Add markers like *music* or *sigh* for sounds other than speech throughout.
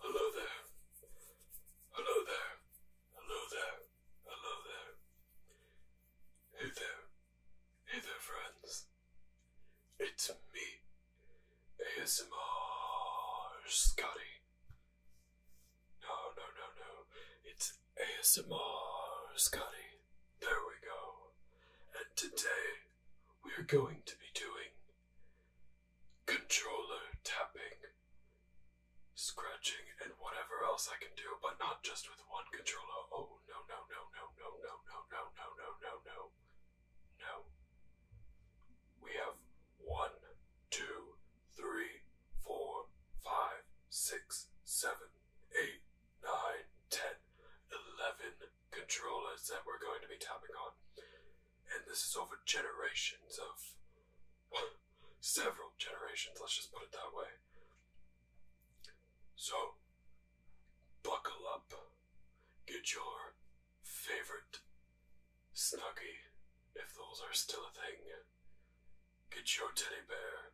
Hello there. Hello there. Hello there. Hello there. Hey there. Hey there, friends. It's me, ASMR Scotty. No, no, no, no. It's ASMR Scotty. There we go. And today we're going to be doing controller tapping, scratching, and whatever else I can do, but not just with one controller. Oh no no no no no no no no no no no no no. We have one, two, three, four, five, six, seven, eight, nine, ten, eleven controllers that we're going to be tapping on and this is over generations of *laughs* several generations, let's just put it that way. So, buckle up, get your favorite snuggie, if those are still a thing, get your teddy bear,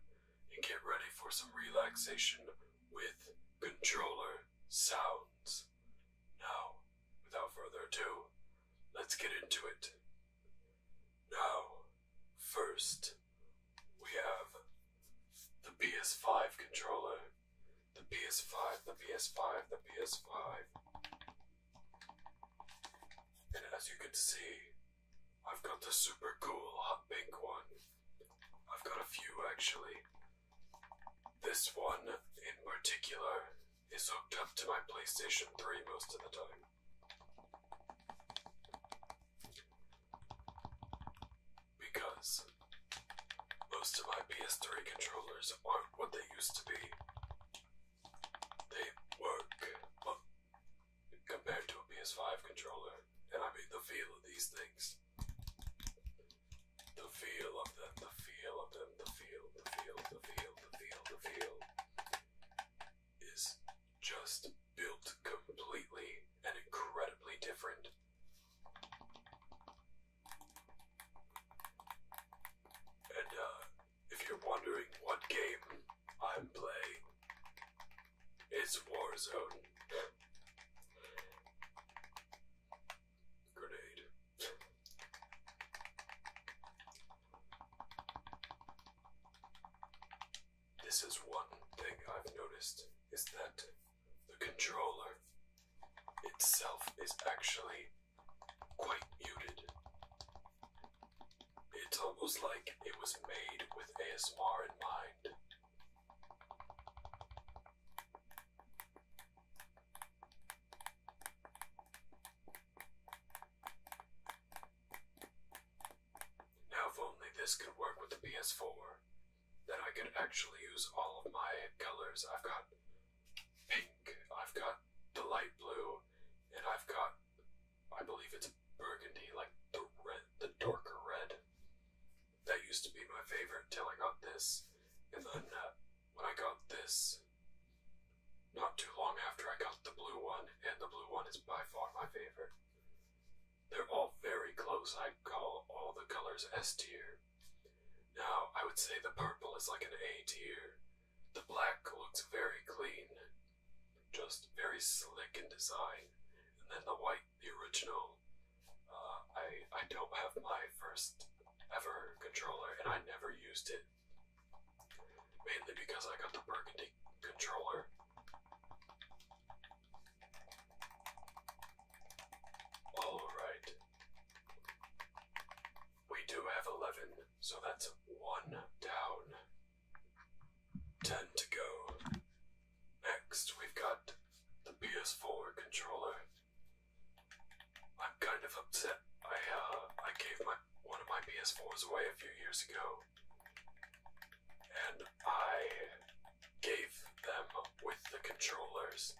and get ready for some relaxation with controller sounds. Now, without further ado, let's get into it. Now, first, we have the PS5 controller. The PS5, the PS5, the PS5. And as you can see, I've got the super cool hot pink one. I've got a few actually. This one, in particular, is hooked up to my PlayStation 3 most of the time. Because most of my PS3 controllers aren't what they used to be. They work well, compared to a PS5 controller, and I mean the feel of these things. The feel of them, the feel of them, the feel, the feel, the feel, the feel, the feel is just built completely and incredibly different. And uh, if you're wondering what game I'm playing, it's Warzone. Grenade. This is one thing I've noticed is that the controller itself is actually quite muted. It's almost like it was made with ASMR in mind. Now, if only this could work with the PS4, then I could actually use all of my colors. I've got pink, I've got the light blue, and I've got, I believe it's burgundy, like the red, the darker red. That used to be my favorite till I got this. And then uh, when I got this, not too long after, I got the blue one, and the blue one is by far my favorite. They're all very close. I call all the colors S tier. Now, I would say the purple is like an A tier. The black looks very clean, just very slick in design. And then the white, the original, um, uh, I I don't have my first ever controller, and I never used it. Mainly because I got the burgundy controller. Alright. We do have 11, so that's 1 down. 10 to go. Next, we've got the PS4 controller. I'm kind of upset. I uh I gave my one of my PS4s away a few years ago. And I gave them with the controllers.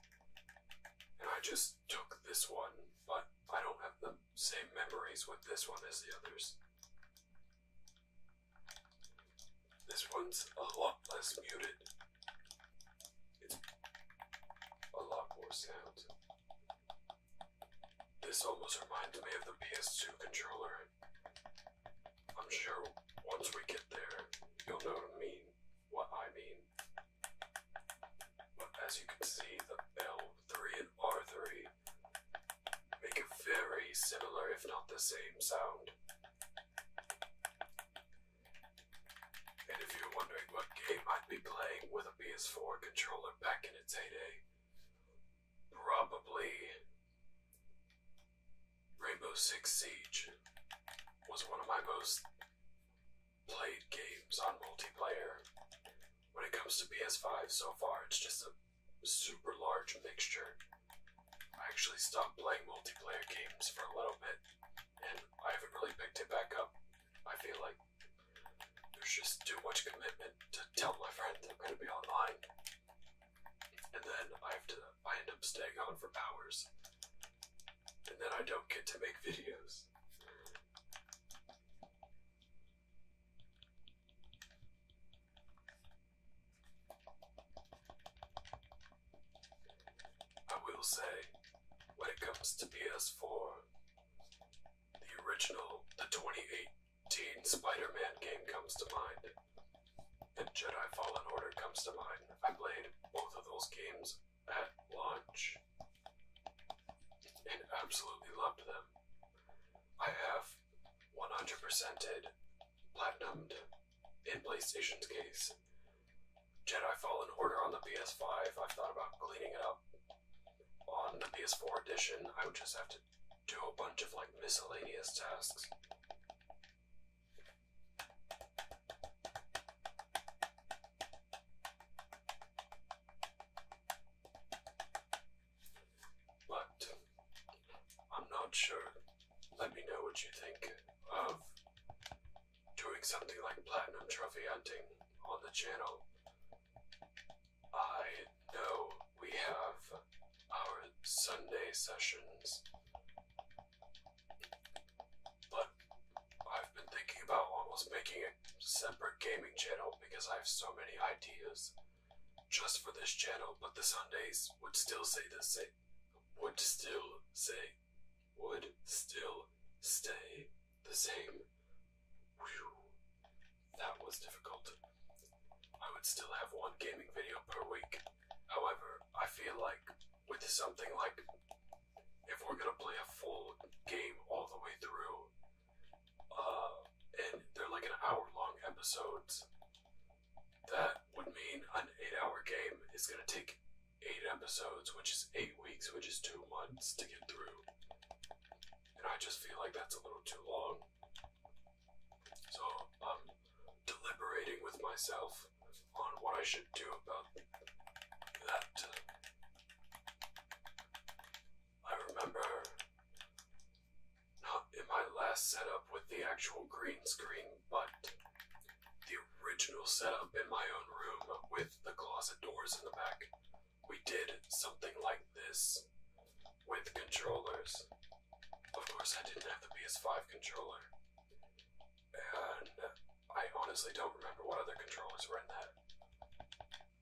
And I just took this one, but I don't have the same memories with this one as the others. This one's a lot less muted. It's a lot more sound. This almost reminds me of the PS2 controller. I'm sure once we get there, you'll know what I mean. What I mean. But as you can see, the L3 and R3 make a very similar, if not the same, sound. And if you're wondering what game I'd be playing with a PS4 controller back in its heyday, probably Rainbow Six Siege was one of my most played games on multiplayer. When it comes to PS5 so far, it's just a super large mixture I actually stopped playing multiplayer games for a little bit, and I haven't really picked it back up. I feel like there's just too much commitment to tell my friends I'm going to be online, and then I have to. I end up staying on for hours, and then I don't get to make videos. I will say, when it comes to PS4, the original, the 2018 Spider Man game comes to mind, and Jedi Fallen Order comes to mind. I played both of those games at launch and absolutely loved them. I have 100%ed, platinumed in PlayStation's case. Jedi Fallen Order on the PS5, I've thought about cleaning it up. On the PS4 edition, I would just have to do a bunch of like miscellaneous tasks. But I'm not sure let me know what you think of doing something like platinum trophy hunting on the channel. I know we have our Sunday sessions, but I've been thinking about almost making a separate gaming channel because I have so many ideas just for this channel, but the Sundays would still say the same would still say would still stay the same. That was difficult. I would still have one gaming video per week. However, I feel like with something like if we're gonna play a full game all the way through, uh, and they're like an hour long episodes, that would mean an eight-hour game is gonna take eight episodes, which is eight weeks, which is two months to get through. And I just feel like that's a little too long. So I'm um, deliberating with myself on what I should do about that. I remember not in my last setup with the actual green screen, but the original setup in my own room with the closet doors in the back. We did something like this with controllers. Of course, I didn't have the PS5 controller. And I honestly don't remember what other controllers were in that.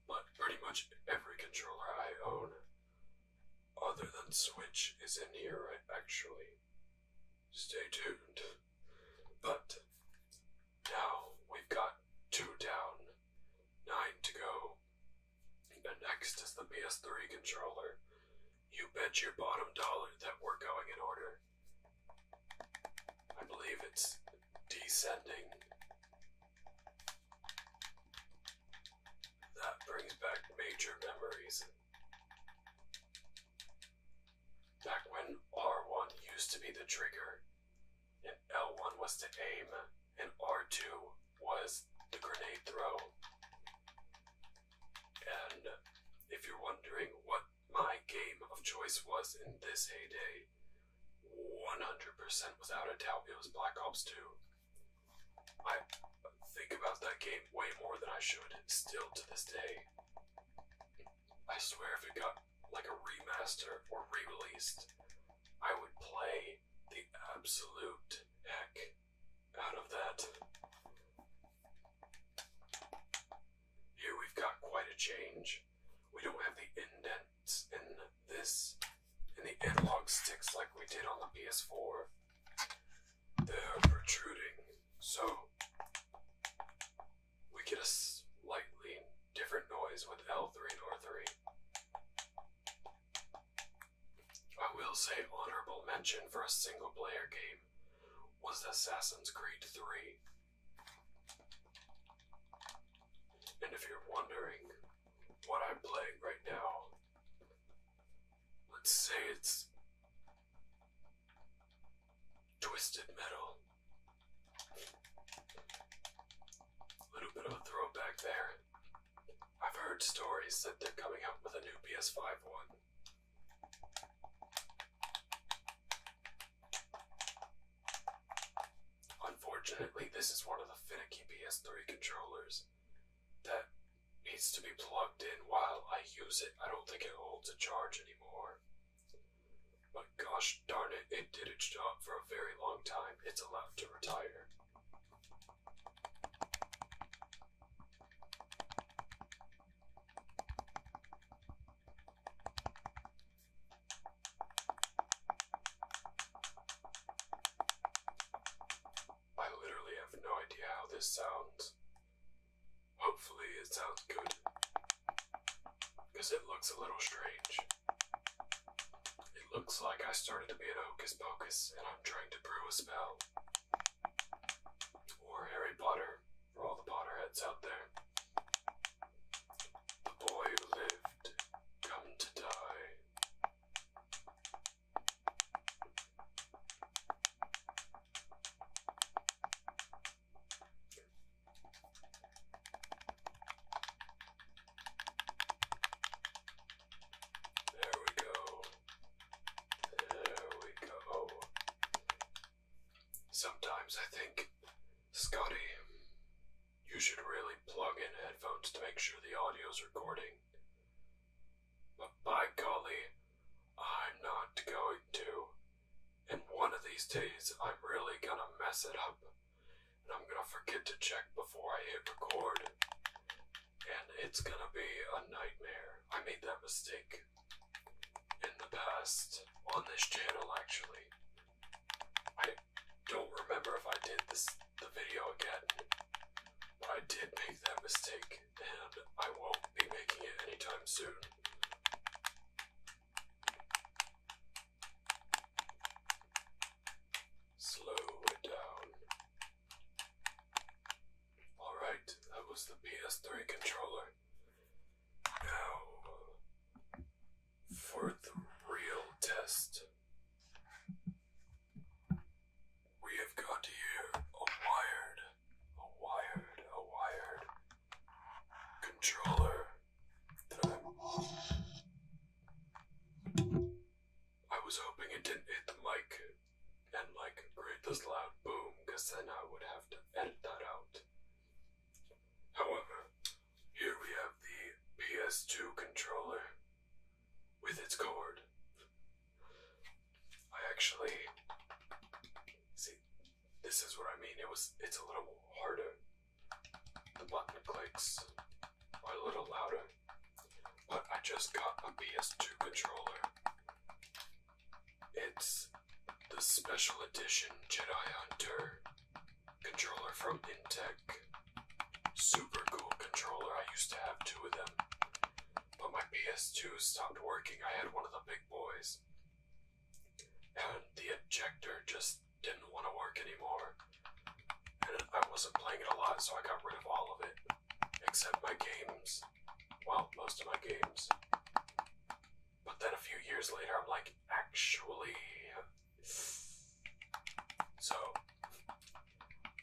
But pretty much every controller I own, other than Switch, is in here, right? Actually. Stay tuned. But now we've got two down, nine to go. And next is the PS3 controller. You bet your bottom dollar that we're going in order. I believe it's descending. That brings back major memories. Back when R1 used to be the trigger, and L1 was to aim, and R2 was the grenade throw. And if you're wondering what my game of choice was in this heyday, 100% without a doubt it was Black Ops 2. I think about that game way more than I should, still to this day. I swear if it got like a remaster or re released, I would play the absolute heck out of that. Here we've got quite a change. We don't have the indents in this, in the analog sticks like we did on the PS4 they're protruding. So we get a slightly different noise with L3 and R3. I will say honorable mention for a single player game was Assassin's Creed 3. And if you're wondering what I'm playing right now, let's say it's twisted metal. A little bit of a throwback there. I've heard stories that they're coming out with a new PS5 one. Unfortunately, this is one of the finicky PS3 controllers that needs to be plugged in while I use it. I don't think it holds a charge anymore. But gosh darn it, it did its job for a very long time. It's allowed to retire. I literally have no idea how this sounds. Hopefully, it sounds good. Because it looks a little strange. It looks like I started to be an hocus pocus and I'm trying to brew a spell. Or Harry Potter, for all the Potterheads out there. The boy who lived, come to die. There we go. There we go. Sometimes I think, Scotty, you should really plug in headphones to make sure the audio's recording. But by golly, I'm not going to. And one of these days, I'm really gonna mess it up. And I'm gonna forget to check before I hit record. And it's gonna be a nightmare. I made that mistake in the past on this channel, actually. I don't remember if I did this the video again. But I did make that mistake, and I won't be making it anytime soon. Slow it down. Alright, that was the PS3 controller. Now, for the real test. We have got here a wired, a wired, a wired controller i was hoping it didn't hit the mic and like create this loud boom, because then I would have to edit that out. However, here we have the PS2 controller with its cord. I actually see this is what I mean. It was it's a little harder. The button clicks a little louder. But I just got a PS2 controller. It's the special edition Jedi Hunter controller from Intech. Super cool controller. I used to have two of them. But my PS2 stopped working. I had one of the big boys. And the ejector just didn't want to work anymore. And I wasn't playing it a lot, so I got rid of all of it. Except my games. Well, most of my games. But then a few years later, I'm like, actually. So,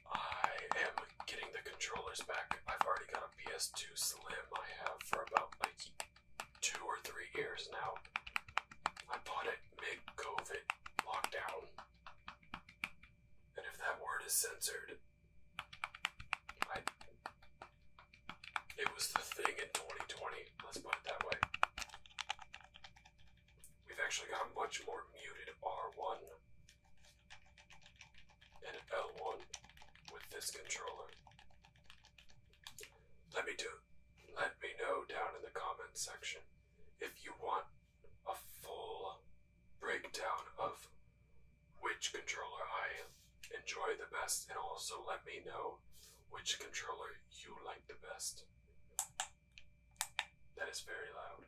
I am getting the controllers back. I've already got a PS2 Slim I have for about two or three years now. I bought it mid COVID lockdown. And if that word is censored, It was the thing in 2020, let's put it that way. We've actually got a much more muted R1 and L1 with this controller? Let me do let me know down in the comments section if you want a full breakdown of which controller I enjoy the best and also let me know which controller you like the best. That is very loud.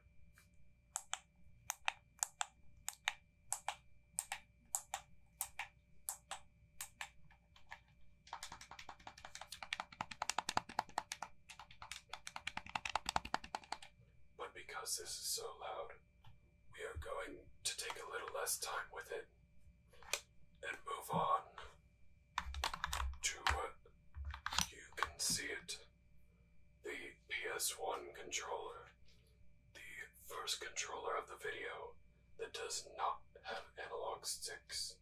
But because this is so loud, we are going to take a little less time with it and move on to what you can see it the PS1 controller, the first controller of the video that does not have analog sticks.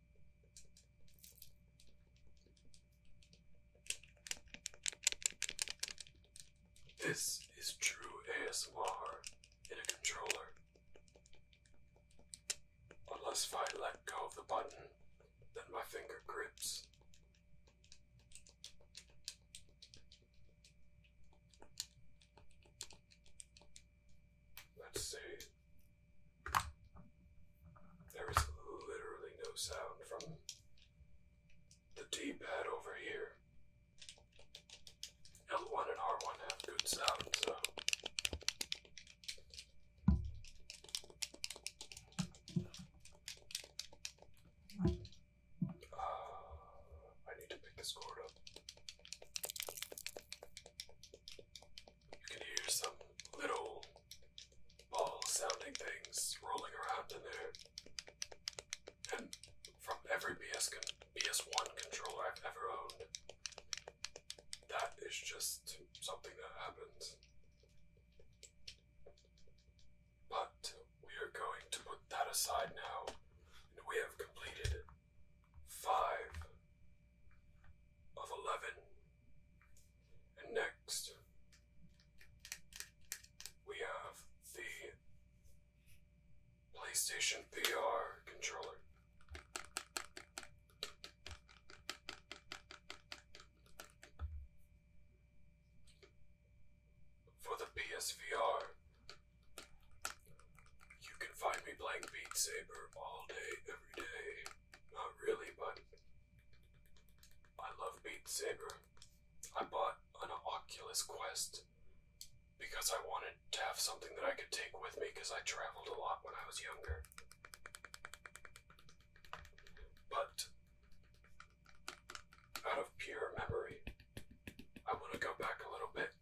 This is true ASMR in a controller. Unless if I let go of the button, then my finger grips. Let's see. There is literally no sound from the D pad over here. L1 and R1 have good sound, so. I need to pick this cord up. You can hear some little ball sounding things rolling around in there. And from every PS1 controller I've ever owned, that is just something that happens. But we are going to put that aside now, we have completed five of eleven. And next, we have the PlayStation VR controller. For the PSVR, you can find me playing Beat Saber all day, every day. Not really, but I love Beat Saber. I bought an Oculus Quest because I wanted to have something that I could take with me because I traveled a lot when I was younger. But out of pure memory, i want to go back a little bit.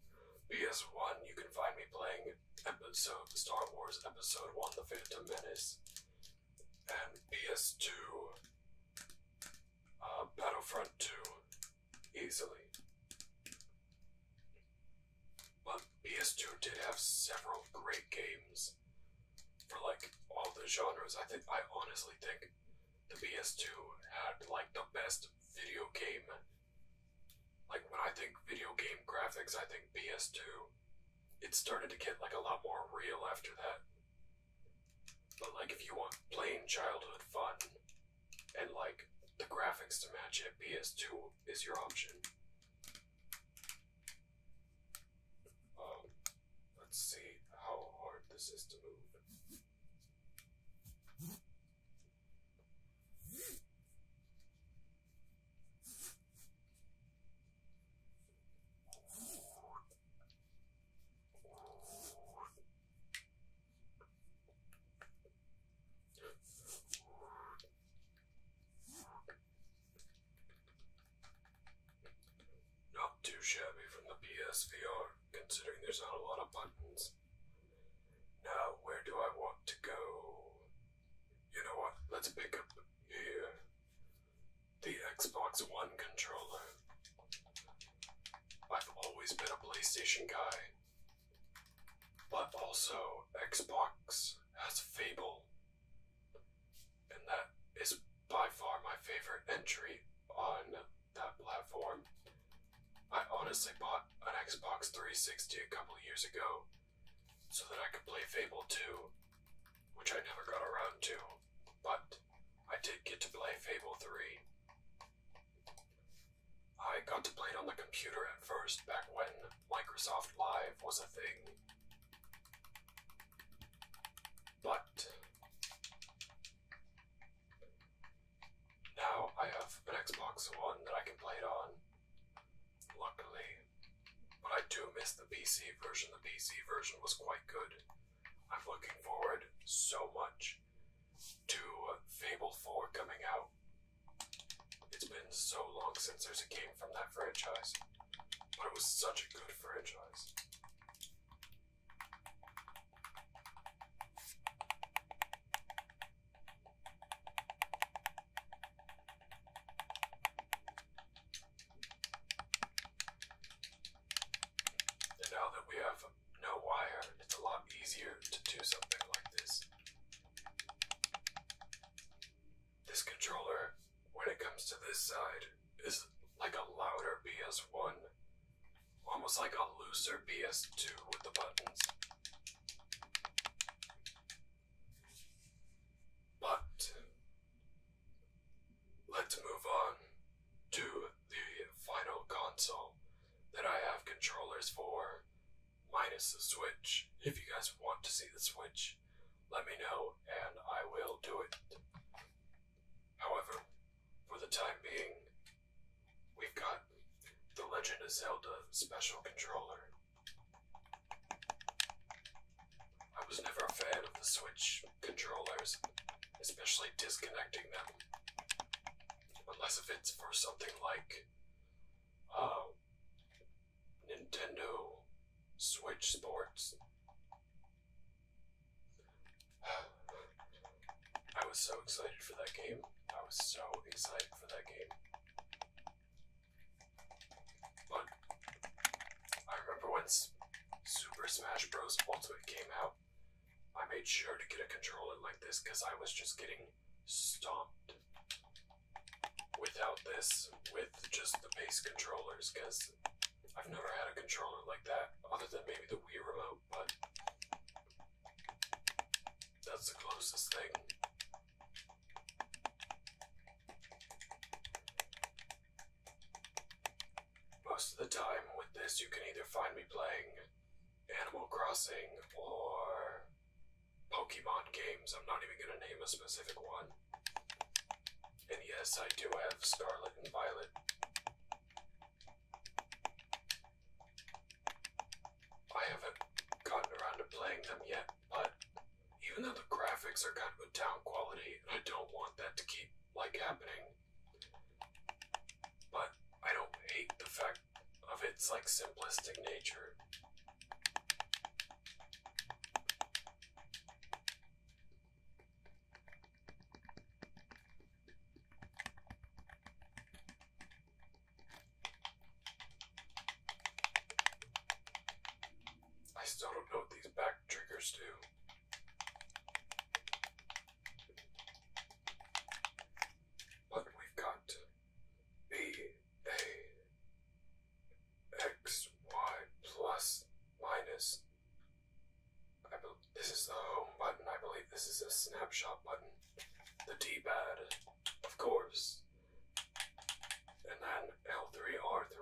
Because one, you can find me playing episode Star Wars Episode One: The Phantom Menace, and PS2, uh, Battlefront 2, easily. But PS2 did have several great games for like all the genres. I think I honestly think the PS2 had like the best video game. Like when I think video game graphics, I think PS2. It started to get like a lot more real after that. But like if you want plain childhood fun and like the graphics to match it, PS2 is your option. Um, let's see how hard this is to move. Not too shabby from the PSVR, considering there's not a lot of buttons. Now, where do I want to go? You know what? Let's pick up here the Xbox One controller. I've always been a PlayStation guy, but also Xbox has Fable and that is by far my favorite entry on that platform. I honestly bought an Xbox 360 a couple years ago so that I could play Fable 2, which I never got around to, but I did get to play Fable 3. I got to play it on the computer at first, back when Microsoft Live was a thing. But now I have an Xbox One that I can play it on. Luckily. But I do miss the PC version. The PC version was quite good. I'm looking forward so much to Fable 4 coming out. It's been so long since there's a game from that franchise. But it was such a good franchise. And now that we have no wire, it's a lot easier to do something like this. This controller, when it comes to this side, is like a louder PS1, almost like a looser PS2 with the buttons. But let's move on to the final console that I have controllers for, minus the Switch. If you guys want to see the Switch, let me know and I will do it. However, for the time being, we've got the Legend of Zelda Special Controller. I was never a fan of the Switch controllers, especially disconnecting them. Unless if it's for something like uh, Nintendo Switch Sports. I was so excited for that game. I was so excited for that game. But I remember when Super Smash Bros. Ultimate came out, I made sure to get a controller like this because I was just getting stomped without this, with just the base controllers, because I've never had a controller like that, other than maybe the Wii remote, but that's the closest thing. Most of the time with this, you can either find me playing Animal Crossing or Pokemon games. I'm not even going to name a specific one. And yes, I do have Scarlet and Violet. I haven't gotten around to playing them yet, but even though the graphics are kind of a down quality, I don't want that to keep like happening, but I don't hate the fact of its like simplistic nature. I still don't know what these back triggers do. But we've got B A xy plus minus. this is the home button. I believe this is a snapshot button. The D-pad, of course. And then L3R3.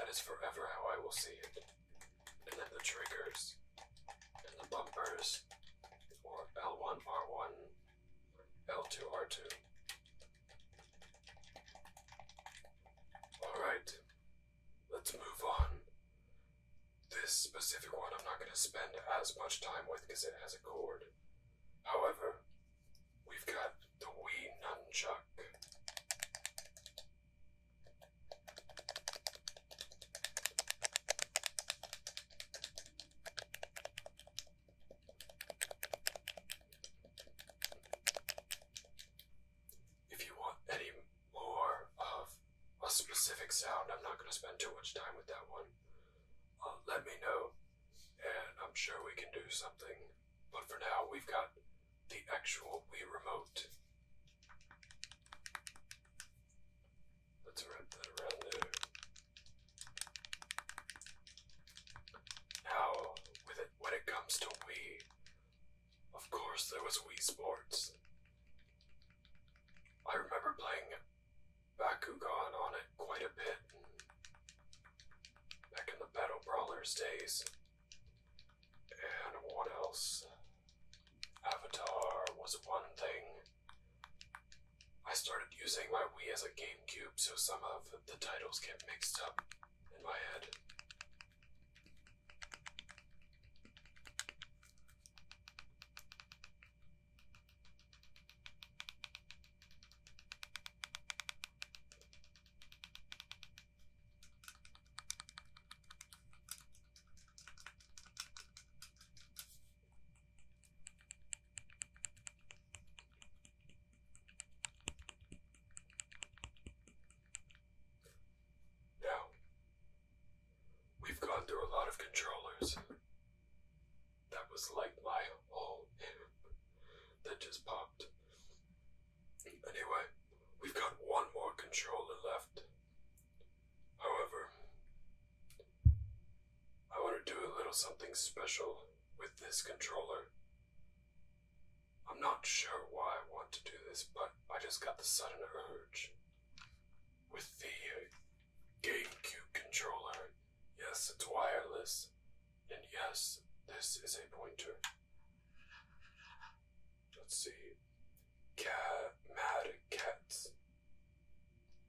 That is forever how I will see it. And then the triggers. And the bumpers. Or L1R1, L2R2. Alright, let's move on. This specific one I'm not going to spend as much time with because it has a chord. However, we've got the wee Nunchuck. If you want any more of a specific sound, I'm not going to spend too much time with that one. Uh, let me know, and I'm sure we can do something. But for now, we've got the actual Wii Remote. Let's wrap that around there. Now, with it, when it comes to Wii, of course there was Wii Sports. I remember playing Bakugan on it quite a bit back in the Battle Brawlers days. And what else? Avatar was one thing. I started using my Wii as a GameCube, so some of the titles get mixed up in my head. Now, we've gone through a lot of controllers. That was like my whole that just popped. Anyway, we've got one more controller left. However, I want to do a little something special with this controller. I'm not sure why I want to do this, but I just got the sudden urge. With the uh, GameCube controller, yes, it's wireless, and yes, this is a pointer. Let's see. Cat, cats.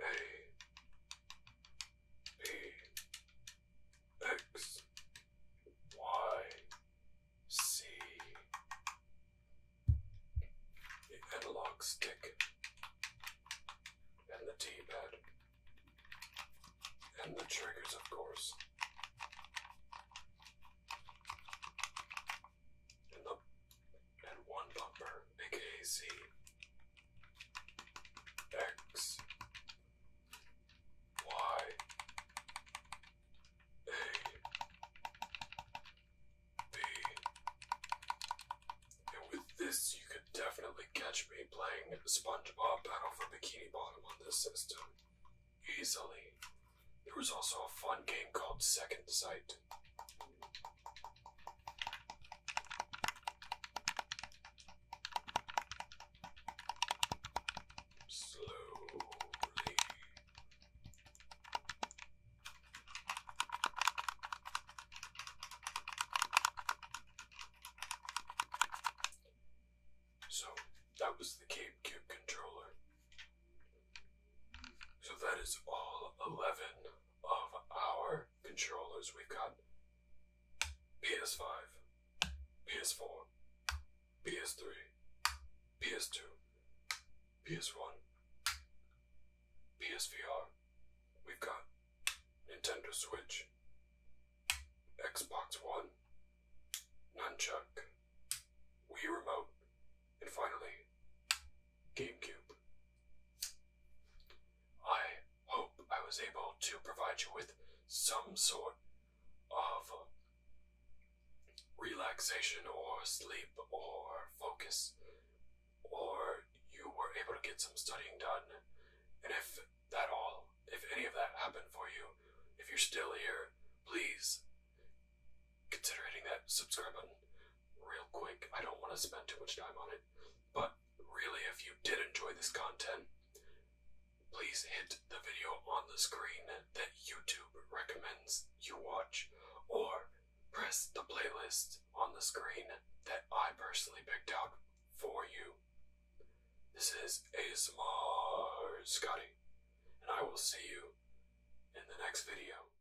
A B X Y C the analog stick and the D pad and the triggers of course and the and one bumper, aka Z X Y A B. And with this, you could definitely catch me playing SpongeBob Battle for Bikini Bottom on this system easily. There was also a fun game called Second Sight slowly. So that was the GameCube controller. So that is all 11 of our controllers, we've got PS5, PS4, PS3, PS2, PS1, PSVR, we've got Nintendo Switch, Xbox One, Nunchuk, Wii Remote, and finally, GameCube. I hope I was able to provide you with some sort of relaxation or sleep or focus, or you were able to get some studying done. And if that all, if any of that happened for you, if you're still here, please consider hitting that subscribe button real quick. I don't want to spend too much time on it, but really, if you did enjoy this content, please hit the video on the screen that YouTube recommends you watch, or press the playlist on the screen that I personally picked out for you. This is ASMR Scotty, and I will see you in the next video.